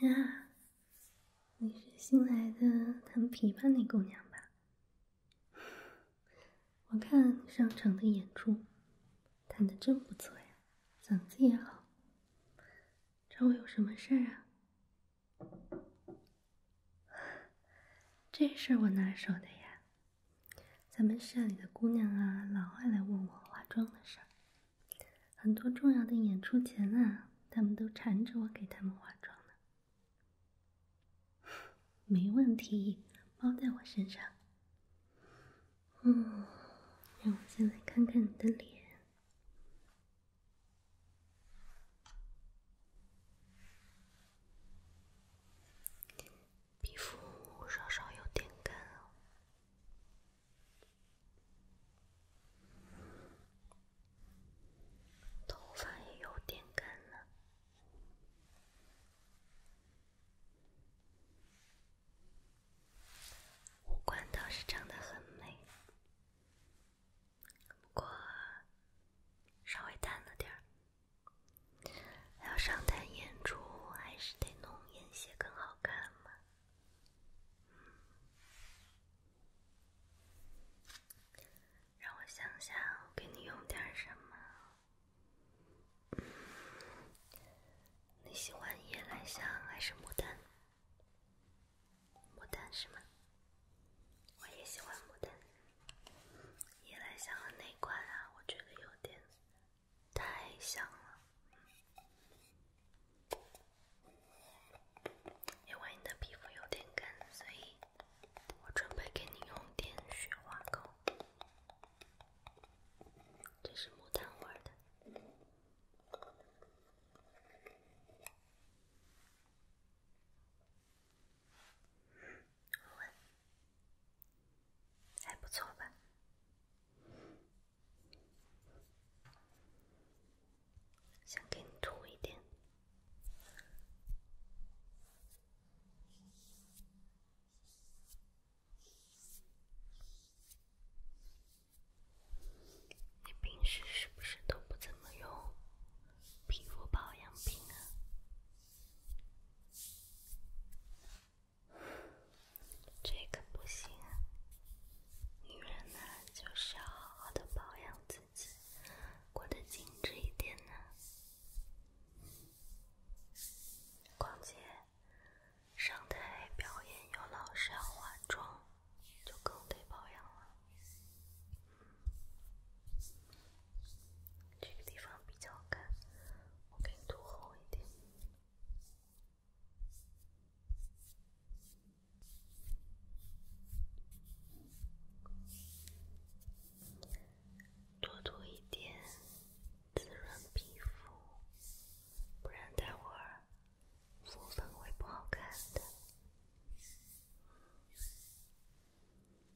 呀，你是新来的弹琵琶那姑娘吧？我看上场的演出，弹的真不错呀，嗓子也好。找我有什么事儿啊？这事儿我拿手的呀。咱们社里的姑娘啊，老爱来问我化妆的事儿。很多重要的演出前啊，他们都缠着我给他们化妆呢。没问题，包在我身上。嗯，让我先来看看你的脸。皮肤稍稍有点干头发也有点干呢。五官倒是长得很美，不过稍微淡了点儿。要上台演出，还是得浓眼线更好看嘛。让我想想，我给你用点什么？你喜欢夜来香还是牡丹？牡丹是吗？我也喜欢牡丹。夜来香的内冠啊，我觉得有点。太香了，因为你的皮肤有点干，所以我准备给你用点雪花膏，这是牡丹花的。还不错吧？先给你涂一点。你平时是不是都不怎么用皮肤保养品啊？这个不行，女人呢就是要好好的保养自己，过得精致一点呢。况且上台表演又老是要化妆，就更得保养了。这个地方比较干，我给你涂厚一点，多涂一点，滋润皮肤，不然待会儿敷粉会不好看的。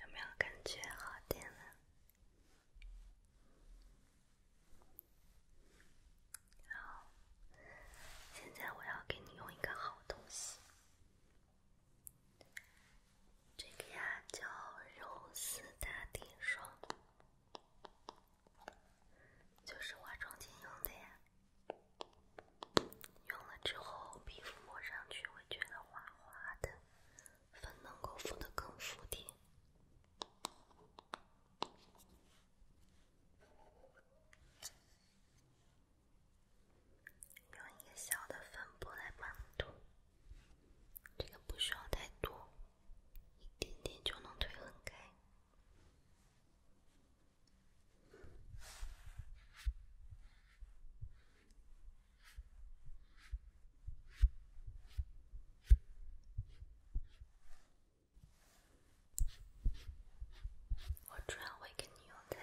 有没有感觉好点了？好，现在我要给你用一个好东西，这个呀叫柔丝打底霜，就是化妆前用的呀。用了之后，皮肤摸上去会觉得滑滑的，粉能够敷的更服帖。用一个小的粉扑来帮你涂，这个不需要太多，一点点就能推很开。我主要会给你用在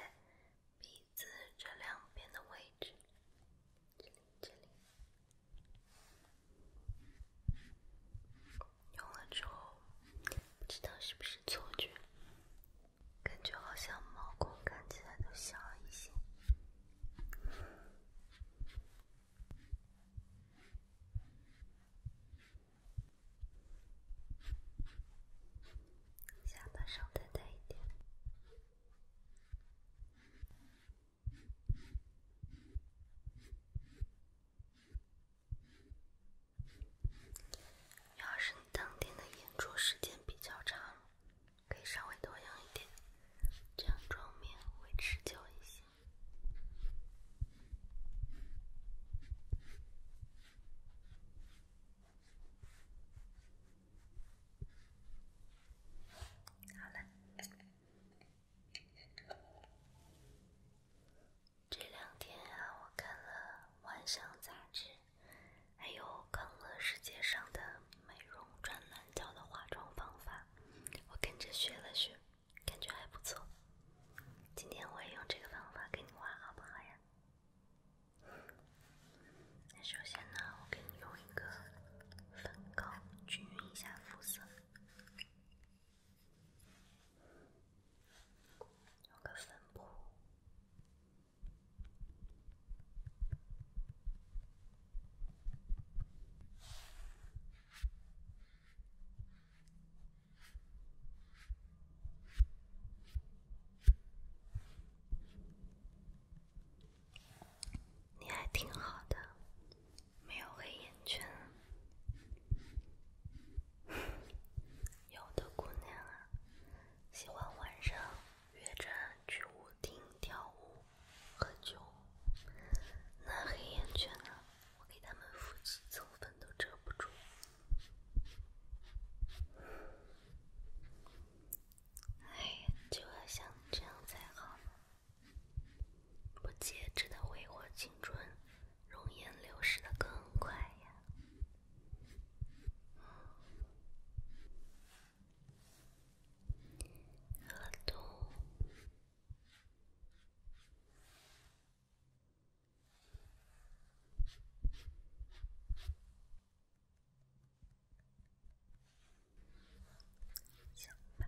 鼻子这两边的位置，这里这里。用了之后，不知道是不是错觉。感觉好像毛孔看起来都小一些，下巴上再淡一点。要是你当天的演出时间比较长，可以稍微多用一点，这样妆面会持久一些。好了。这两天啊，我看了《万象》杂志，还有《康乐世界》上的美容专栏教的化妆方法，我跟着学了学，感觉还不错。今天我也用这个方法给你画，好不好呀？那首先呢，我给你用一个粉膏均匀一下肤色。有个粉扑，你还挺好的，没有黑眼圈。有的姑娘啊，喜欢晚上约着去舞厅跳舞、喝酒，那黑眼圈呢，我给她们敷几层粉都遮不住。哎，就要像这样才好，不节制的挥霍青春。容颜流失的更快呀，耳朵，行吧。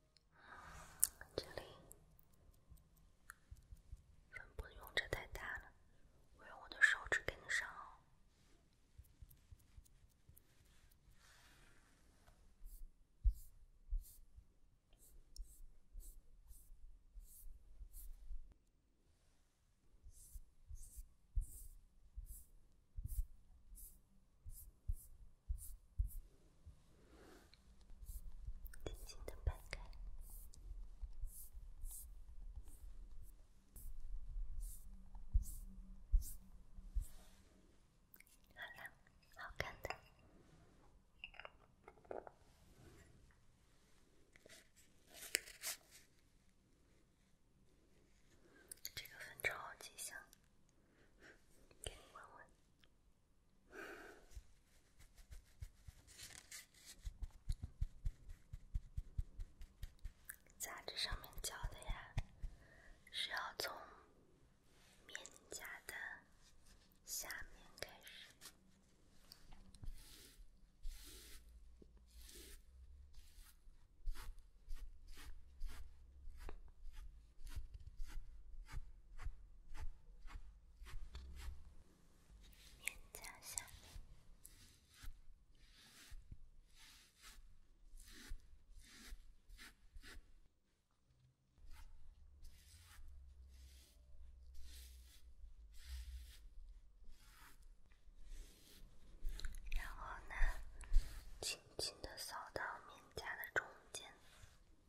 嗯，精灵，粉扑用着太大了，我用我的手指给你上。轻轻地掰开，好了，好看的，这个粉超级香，给你闻闻。杂志上面教的呀，是要从面颊的下面开始。脸颊下面，然后呢，轻轻地扫到脸颊的中间。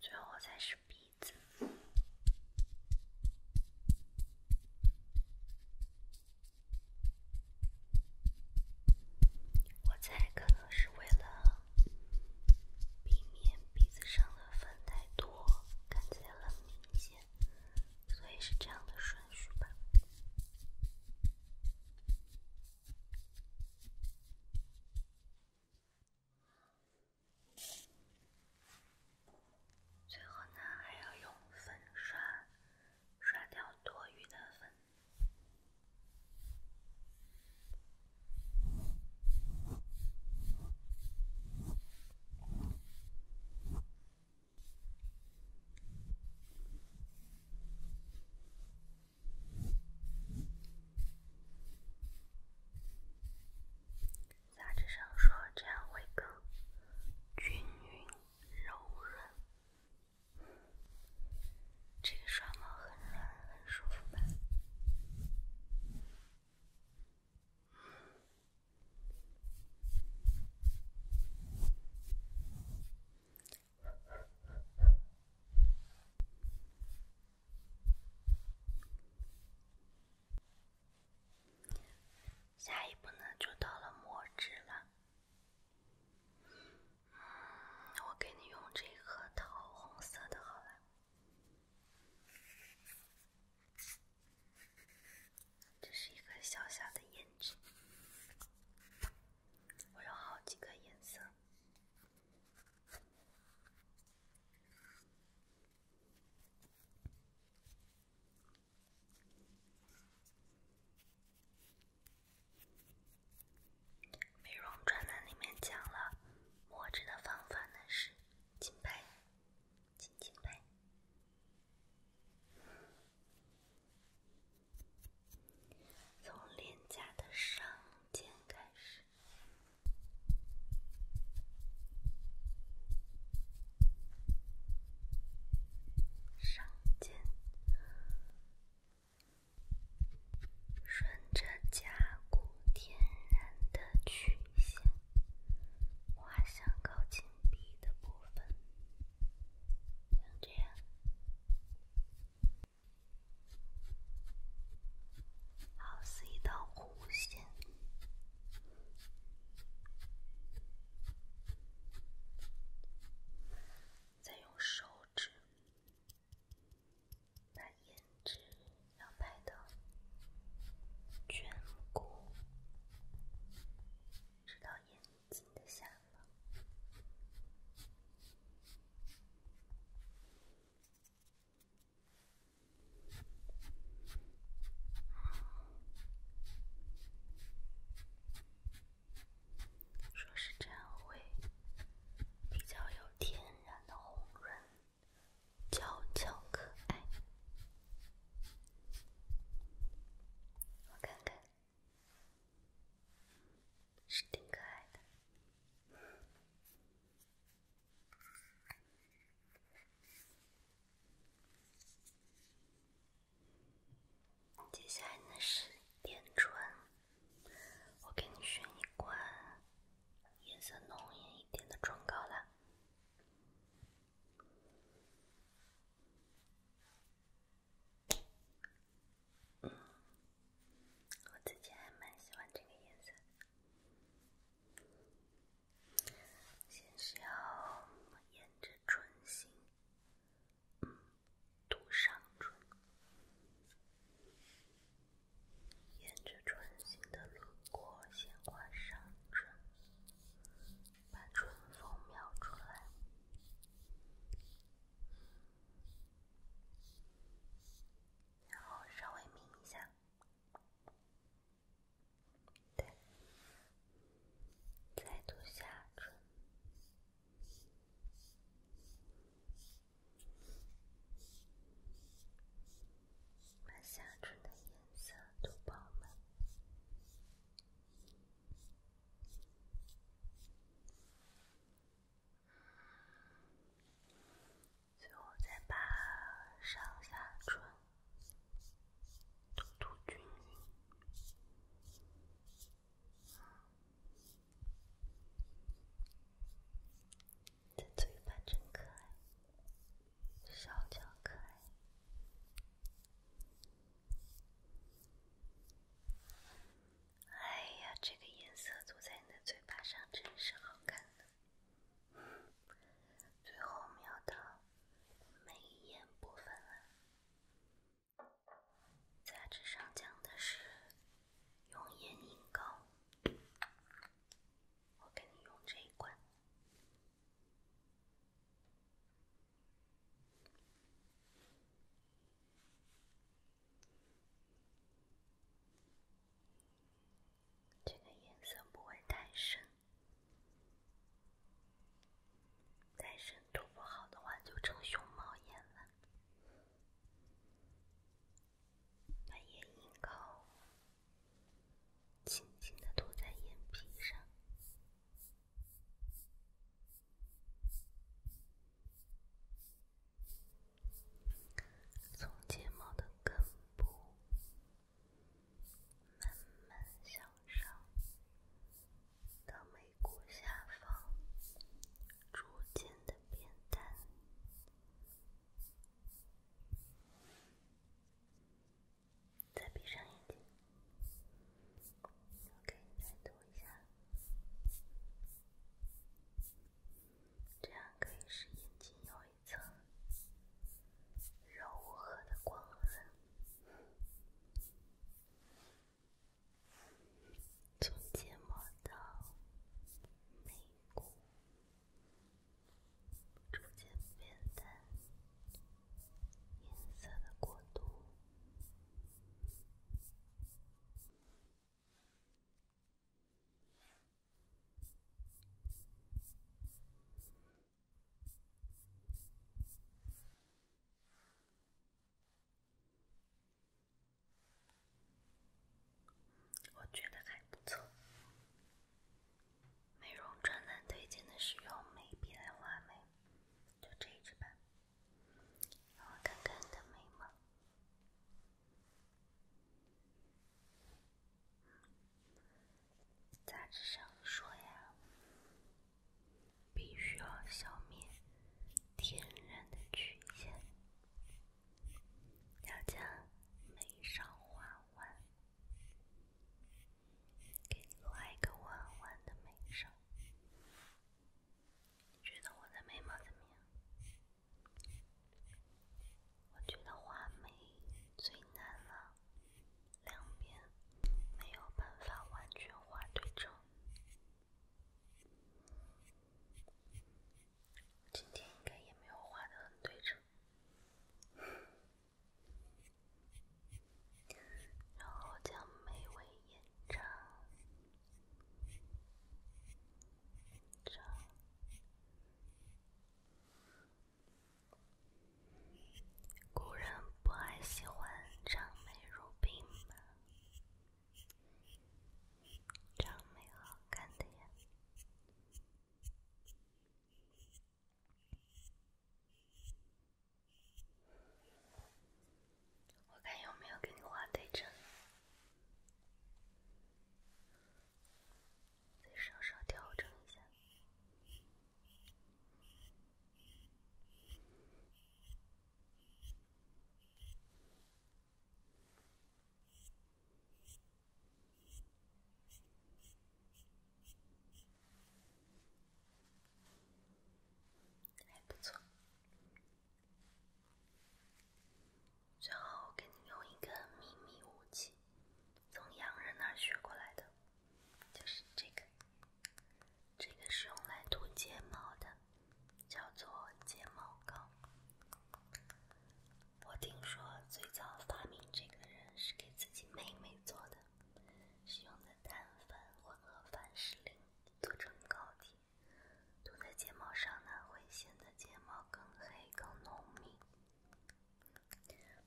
最后才是鼻子，我猜可能是为了避免鼻子上的粉太多，看起来很明显，所以是这样的顺序吧。最后呢，还要用粉刷刷掉多余的粉。杂志上说这样会更均匀柔润，这个刷毛很软，很舒服吧。下一步呢，就到了磨制了。嗯，我给你用这颗桃红色的，好了，这是一个小小的胭脂，我有好几个颜色。美容专栏里面讲了，握着的方法呢是紧拍，紧紧拍。从脸颊的上肩开始，上肩，顺着甲骨天然的曲线，画向靠近鼻的部分，像这样。好似一道弧线，再用手指把胭脂要拍的卷裹，睛的下方，说是这样会比较有天然的红润，娇俏可爱。我看看。是挺可爱的。接下来呢是点唇，我给你选一款颜色浓艳一点的唇膏啦。嗯，我自己还蛮喜欢这个颜色。先需要沿着唇形，嗯，涂上唇，沿着唇形的轮廓先画上唇，把唇峰描出来。然后稍微抿一下，对，再涂下唇，把下唇的颜色都饱满。最后再把上下唇涂涂均匀。你的嘴巴真可爱，小巧可爱。哎呀，这个颜色涂在你的嘴巴上真是好看。最后描到眉眼部分了。杂志上讲的是用眼影膏，我给你用这一管。这个颜色不会太深，太深涂不好的话就成熊猫眼了。把眼影膏轻轻地涂在眼皮上。从睫毛的根部慢慢向上，到眉骨下方，逐渐的变淡，再闭上眼睛。OK，再读一下，这样可以使眼睛有一层柔和的光晕，从睫毛到眉骨，逐渐变淡。颜色的过渡，我觉得还不错。美容专栏推荐的是用眉笔来画眉，就这一支吧。让我看看你的眉毛。杂志上说呀，必须要消灭天然的曲线，要将眉梢画弯。给你画个弯弯的眉梢。你觉得我的眉毛怎么样？我觉得画眉最难了，两边没有办法完全画对称，今天应该也没有画的很对称。然后将美眉延长。古人不还喜欢长美如冰吗？长美好看的呀。我看有没有给你画对称，再稍稍调整一下。还不错。最后，我给你用一个秘密武器，从洋人那学过来的，就是这个。这个是用来涂睫毛的，叫做睫毛膏。我听说最早发明这个人是给自己妹妹做的。使用的碳粉混合凡士林做成膏体，涂在睫毛上呢，会显得睫毛更黑更浓密。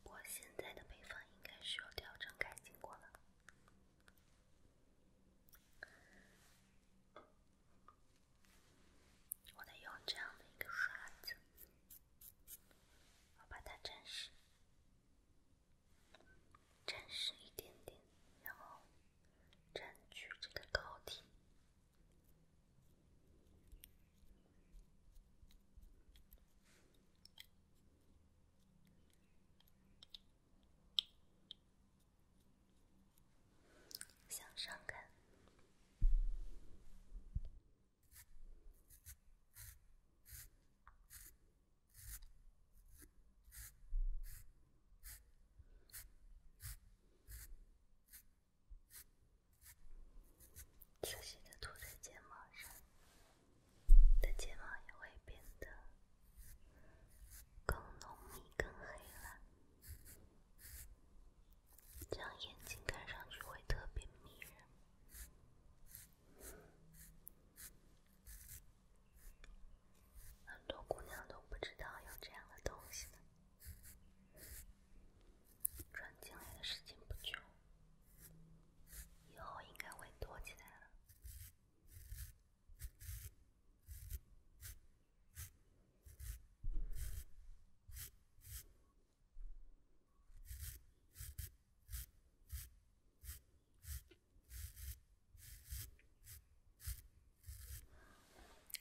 我现在的配方应该需要调整改进过了。我得用这样的一个刷子，我把它沾湿。沾湿一点点，然后占据这个膏体，向上看。仔细的涂在睫毛上，你的睫毛也会变得更浓密、更黑了，这样眼睛看上去会特别迷人。很多姑娘都不知道有这样的东西。转进来的时间不久，以后应该会多起来了。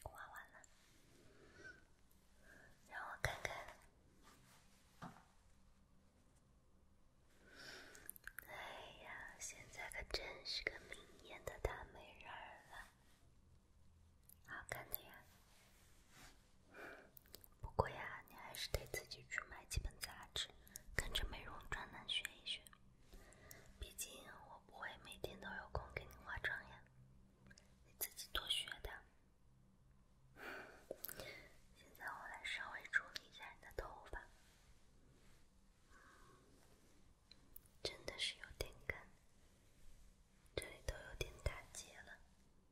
画完了，让我看看。哎呀，现在可真是个明艳的大美人儿了，好看的呀。不过呀，你还是得自己去买几本杂志，跟着美容专栏学一学。毕竟我不会每天都有空给你化妆呀，你自己多学点。现在我来稍微处理一下你的头发，真的是有点干，这里都有点打结了。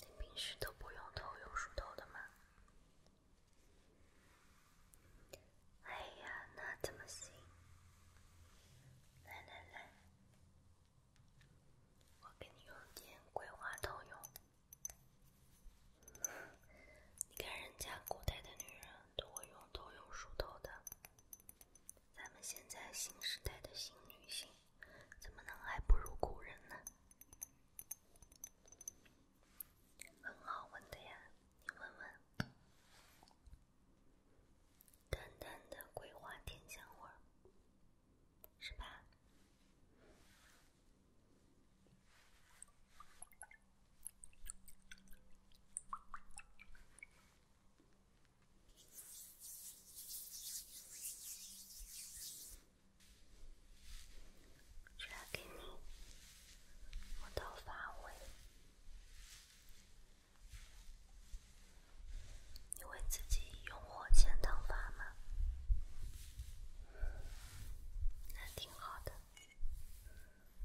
你平时都不用头油梳头的吗？哎呀，那怎么行？来来来，我给你用点桂花头油。你看人家古代的女人都会用头油梳头的。咱们现在新时代的新女性，怎么能还不如古人呢？很好闻的呀，你闻闻，淡淡的桂花甜香味儿，是吧？今天摸到发尾，你为自己用火枪烫发吗？那挺好的。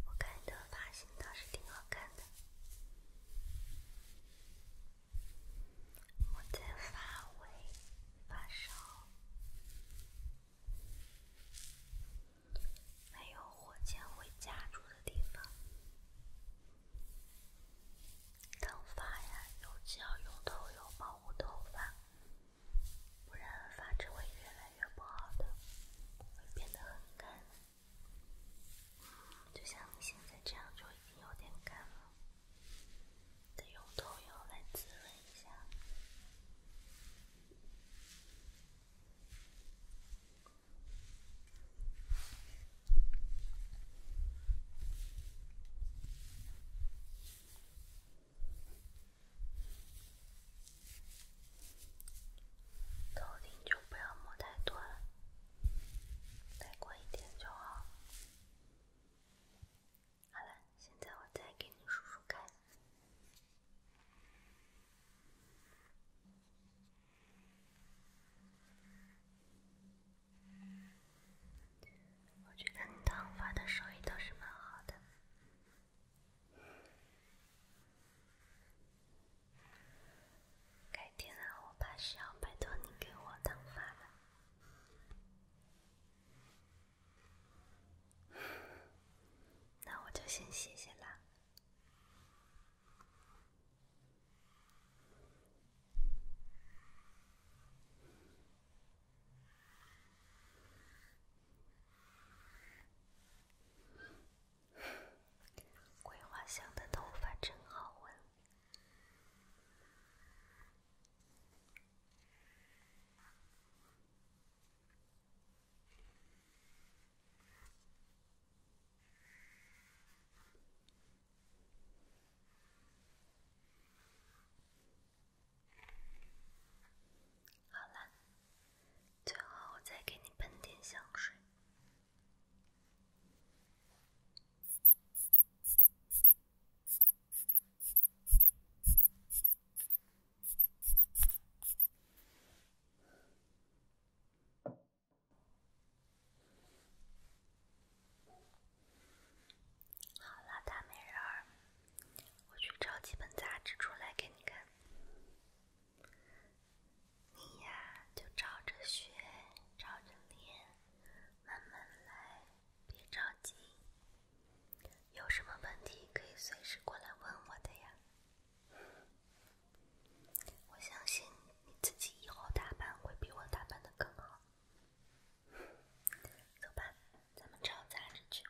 我看你的发型倒是挺好看的。我在发尾发烧，没有火箭回家住的地方。烫发呀，尤其要用油，保护头发，不然发质会越来越不好的，会变得很干。嗯，就像你现在这样就已经有点干了，得用头油来滋润一下。头顶就不要抹太多了，再过一点就好。好了，现在我再给你梳梳看。我觉得你烫发的手艺都是蛮好的。改天啊，我怕是要拜托你给我挡发了。那我就先谢谢啦。桂花香的头发真好闻。好最后我再给你喷点香水。好了，大美人儿，我去找几本杂志出来给你看。你呀，就照着学，照着练，慢慢来，别着急。有什么问题可以随时过来问我的呀。我相信你自己以后打扮会比我打扮的更好。走吧，咱们照镜子去。